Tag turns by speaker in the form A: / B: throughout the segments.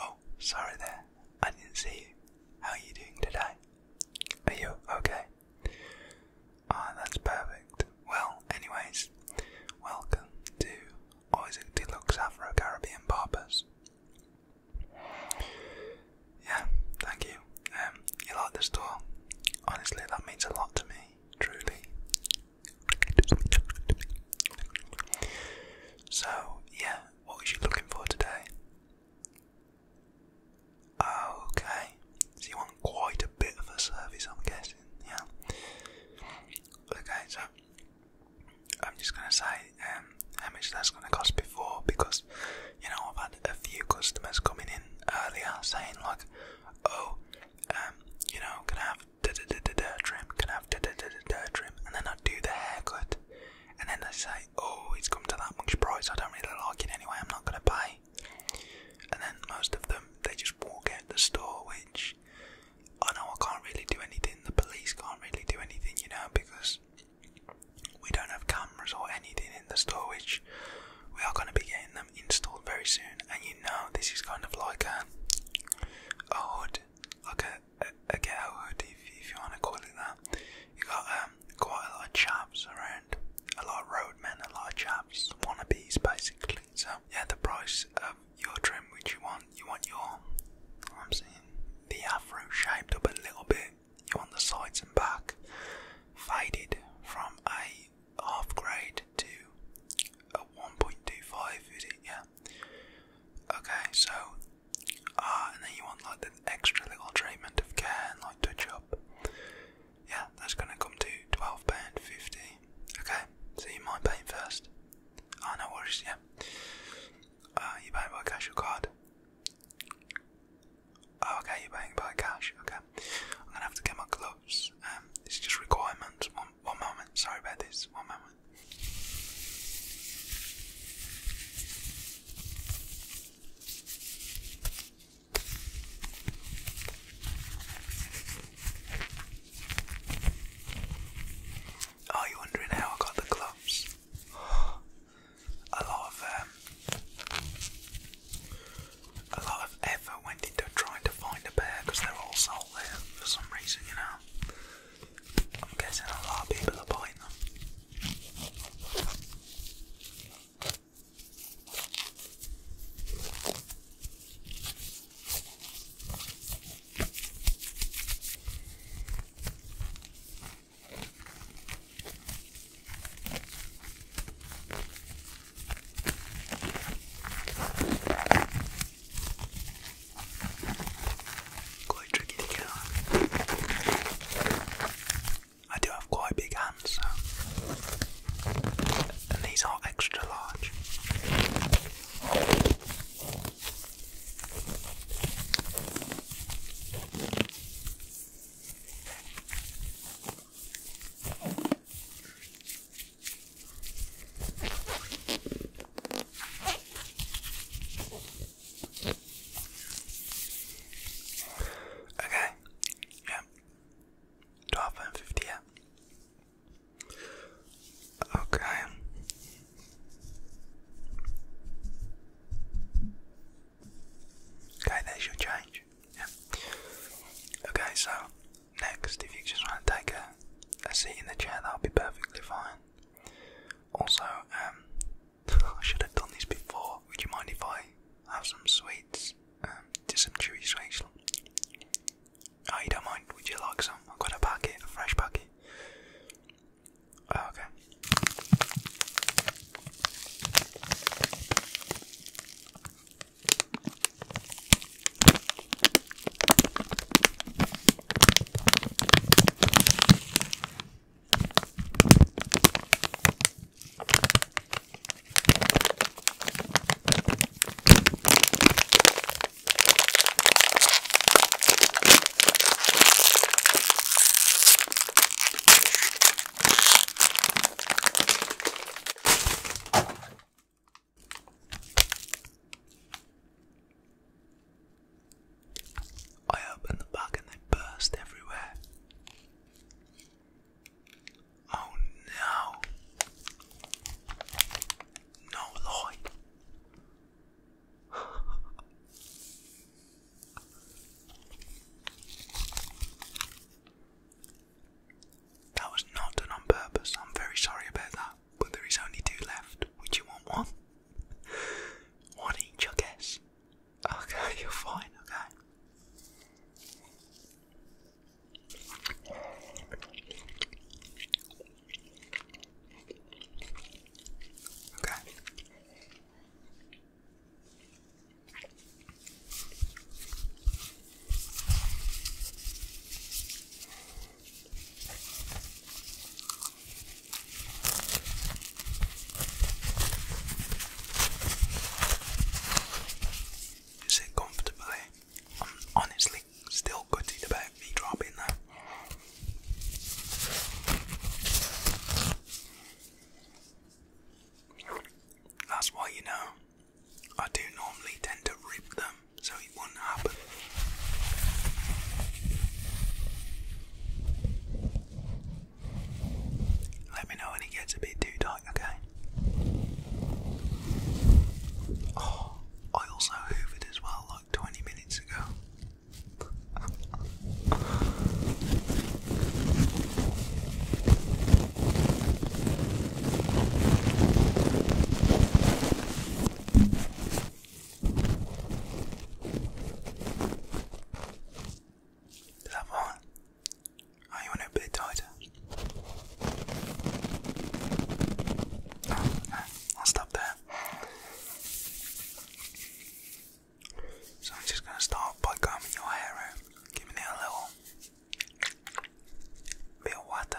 A: oh, sorry there. I didn't see you. How are you doing today? Are you okay? Ah, that's perfect. Well, anyways, welcome to Isaac Deluxe Afro Caribbean Barbers. Yeah, thank you. Um, you like the store? Honestly, that means a lot to me, truly. So, yeah, what was you looking for today? Okay, so you want quite a bit of a service, I'm guessing, yeah? Okay, so I'm just gonna say um, how much that's gonna cost before because you know I've had a few customers coming in earlier saying like, oh, um, you know, can I have da da da da trim? Can I have da da da da trim? And then I do the haircut, and then they say, oh, it's come to that much price. I don't really like it anyway. I'm not gonna pay. And then most of them they just walk out the store, which which I know I can't really do anything, the police can't really do anything, you know, because we don't have cameras or anything in the store, which we are going to be getting them installed very soon. And you know, this is kind of like a, a hood, like a, a, a ghetto hood, if, if you want to call it that. you got um, quite a lot of chaps around, a lot of roadmen, a lot of chaps, wannabes basically. So, yeah, the price of your trim which you want. You want your, I'm saying, the afro shaped up a little bit. You want the sides and back faded from a half grade to a 1.25, is it? Yeah. Okay, so, ah, and then you want like the extra little treatment of care and like touch up. Yeah, that's gonna come to £12.50. Okay, so you mind paying first. 啊，那我是先，啊，一般一般开始 uh, card。Oh, okay, you're paying by cash. Okay, I'm gonna have to get my gloves. Um, it's just requirements. One, one moment. Sorry about this. One moment. Are you wondering how I got the clubs? A lot of um, a lot of effort went into trying to find a pair because they're all sold there for some reason, you know. I'm guessing a lot of people are buying them. Quite tricky to get I do have quite big hands, so. and these are extra large. Okay, yeah, twelve Yeah. Okay. Okay, there's your change. Yeah. Okay, so next, if you just want to take a, a seat in the chair, that'll be perfectly fine. Also, um, I should have done this before. Would you mind if I have some sweets? Um, just some chewy sweets. Oh, you don't mind? Would you like some? I've got a packet, a fresh packet. Oh, okay. I opened the bag and they burst everywhere. Oh no! No lie. that was not done on purpose. I'm very sorry about that. But there is only two left. Would you want one? One each, I guess. Okay, you're fine, okay. Okay. You comfortably. Um, honestly, Still good to the back, knee drop in That's why you know I do normally tend to rip them so it will not happen. Let me know when it gets a bit too tight, okay? Oh. I also hoovered as well like 20 minutes ago. Is that fine? Oh, you want a bit tighter? I'll stop there. So I'm just gonna start by combing your hair out, giving it a little bit of water.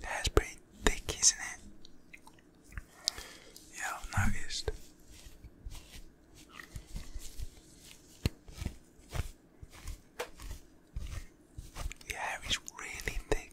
A: That's pretty thick, isn't it? Yeah, I've noticed. The hair is really thick.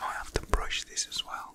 A: I have to brush this as well.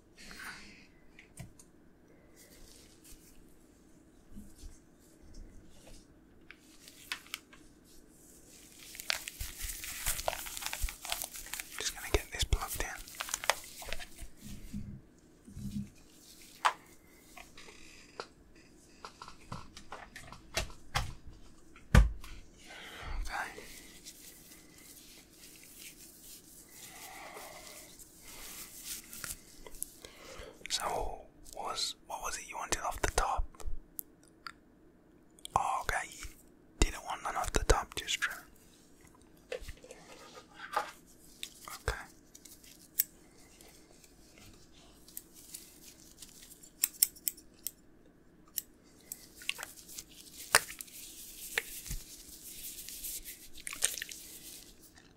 A: Just going to get this plugged in. Okay. So what was what was it you wanted off the top? Oh, okay, didn't want none off the top, just Okay.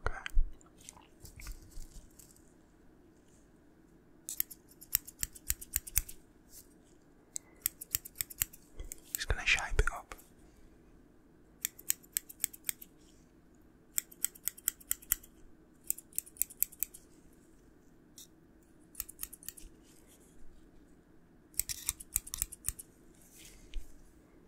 A: Okay. Just gonna shape it up.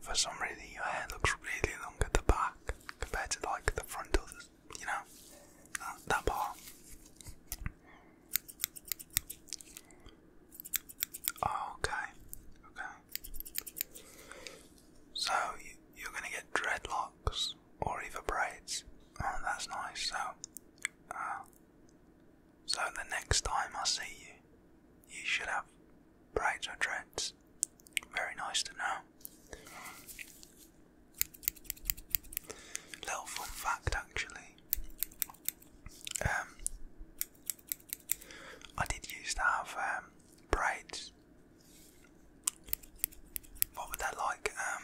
A: For some reason, your hair looks really long at the back compared to like the front of the, you know, that, part. okay, okay. So you're gonna get dreadlocks or either braids. Oh, that's nice. So, uh, so the next time I see you, you should have braids or dreadlocks. Very nice to know. Little fun fact, actually. Um, I did used to have um, braids what was that like? Um,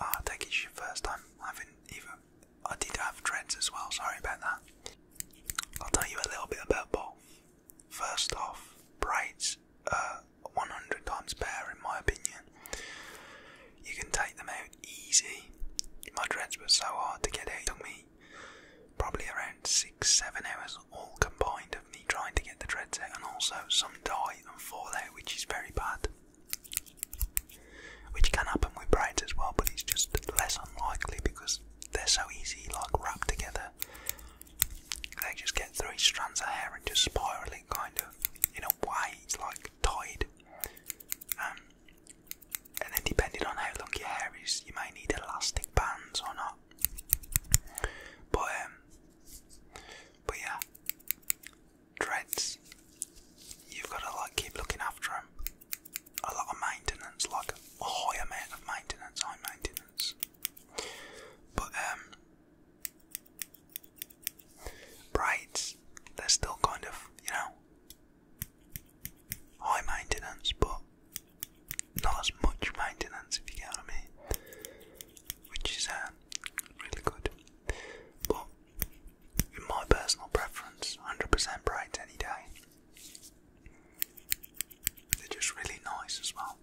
A: oh, I your first time having even. I did have dreads as well. Sorry about that. I'll tell you a little bit about both. First off, braids are 100 times better in my opinion. You can take them out easy. My dreads were so hard to get out. It took me probably around six, seven hours all combined of me trying to get the dread set, and also some dye and fall out which is very bad. Which can happen with braids as well, but it's just less unlikely because they're so easy, like wrapped together. They just get three strands of hair and just spiral it kind of in a way, it's like tied. Um and then depending on how long your hair is, you might need elastic bands or not. But um, but yeah, dreads. You've got to like keep looking after them. A lot of maintenance, like a high amount of maintenance, high maintenance. But um, braids, they're still kind of you know high maintenance, but not as much maintenance if you get what I mean, which is uh, really good. But in my personal preference, 100% bright any day. They're just really nice as well.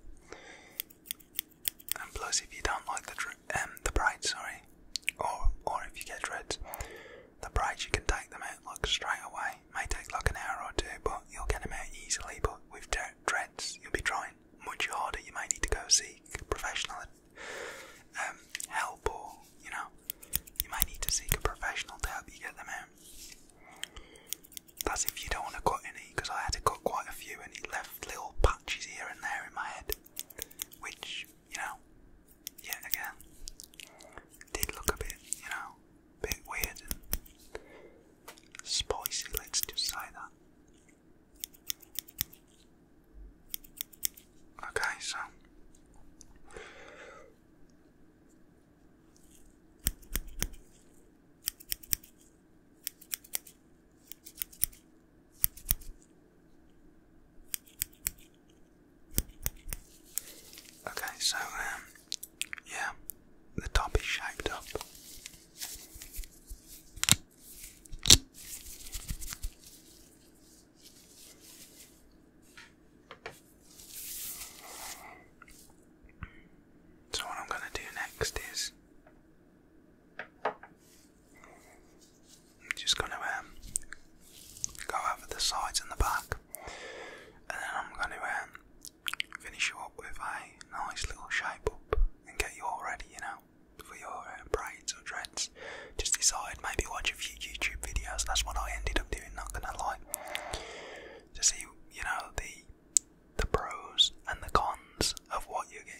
A: And plus, if you don't like the um, the braids, sorry, or or if you get dreads, the braids you can take them out like straight away may take like an hour or two, but you'll get them out easily. But with dreads, you'll be trying much harder. You might need to go seek professional um, help, or you know, you may need to seek a professional to help you get them out. That's if you don't want to cut any, because I had to cut quite a few, and it left little patches here and there in my head, which you know, yeah, again, did look a bit, you know, bit weird spicy, let's just say that. Okay, so Okay, so um, yeah, the top is shaped up. So what I'm going to do next is just going to um, go over the sides and the back and then I'm going to um, finish you up with a nice little shape up and get you all ready, you know, for your uh, braids or dreads. Just decide, maybe watch a few YouTube videos. That's what I ended up doing, not going to lie. To see, you know, the the pros and the cons of what you're getting.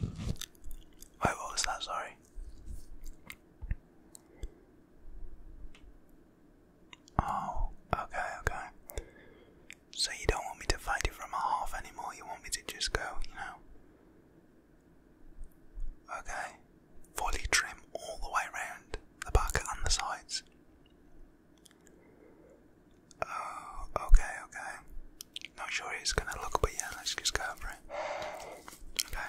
A: Wait, what was that? Sorry. Oh, okay, okay. So you don't want me to fight you from a half anymore, you want me to just go, you know. Okay. Fully trim all the way around the back and the sides. Oh, okay, okay. Not sure it's gonna look, but yeah, let's just go for it. Okay.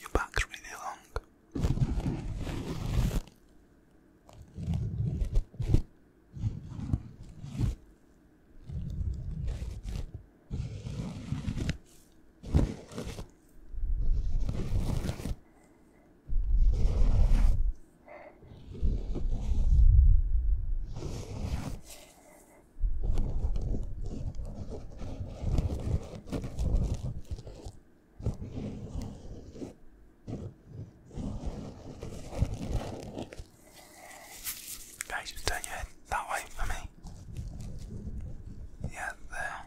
A: Your back's really long. Guys, just turn your head that way for me. Yeah, there.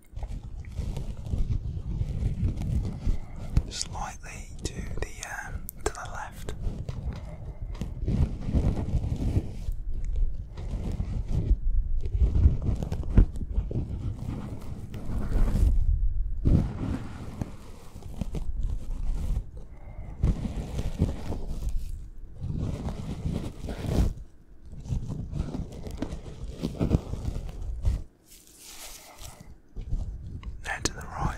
A: slightly to the um, to the left. Now to the right.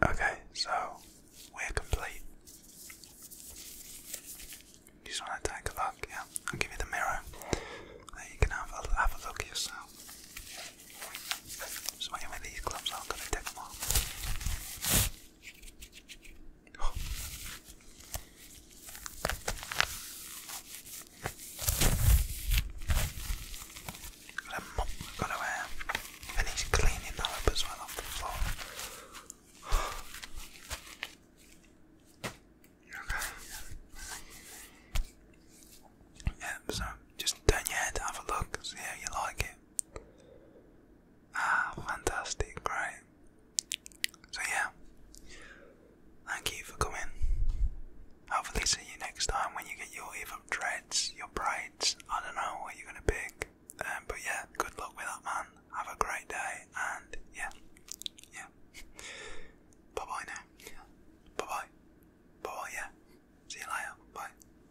A: Okay, so we're complete. just want to take a look, yeah? I'll give you the mirror. There you can have a, have a look yourself. Just waiting with these gloves on, i take them off. Gotta mop, gotta uh, finish cleaning that up as well off the floor. Okay. Yeah, so just turn your head, have a look, see how you like it. Ah, fantastic, right? So, yeah, thank you for coming. Hopefully, see you next time when you get your either dreads, your braids. I don't know what you're gonna pick, um, but yeah, good luck with that, man. Have a great day, and yeah, yeah. bye bye now. Bye bye. Bye bye. Yeah. See you later. Bye.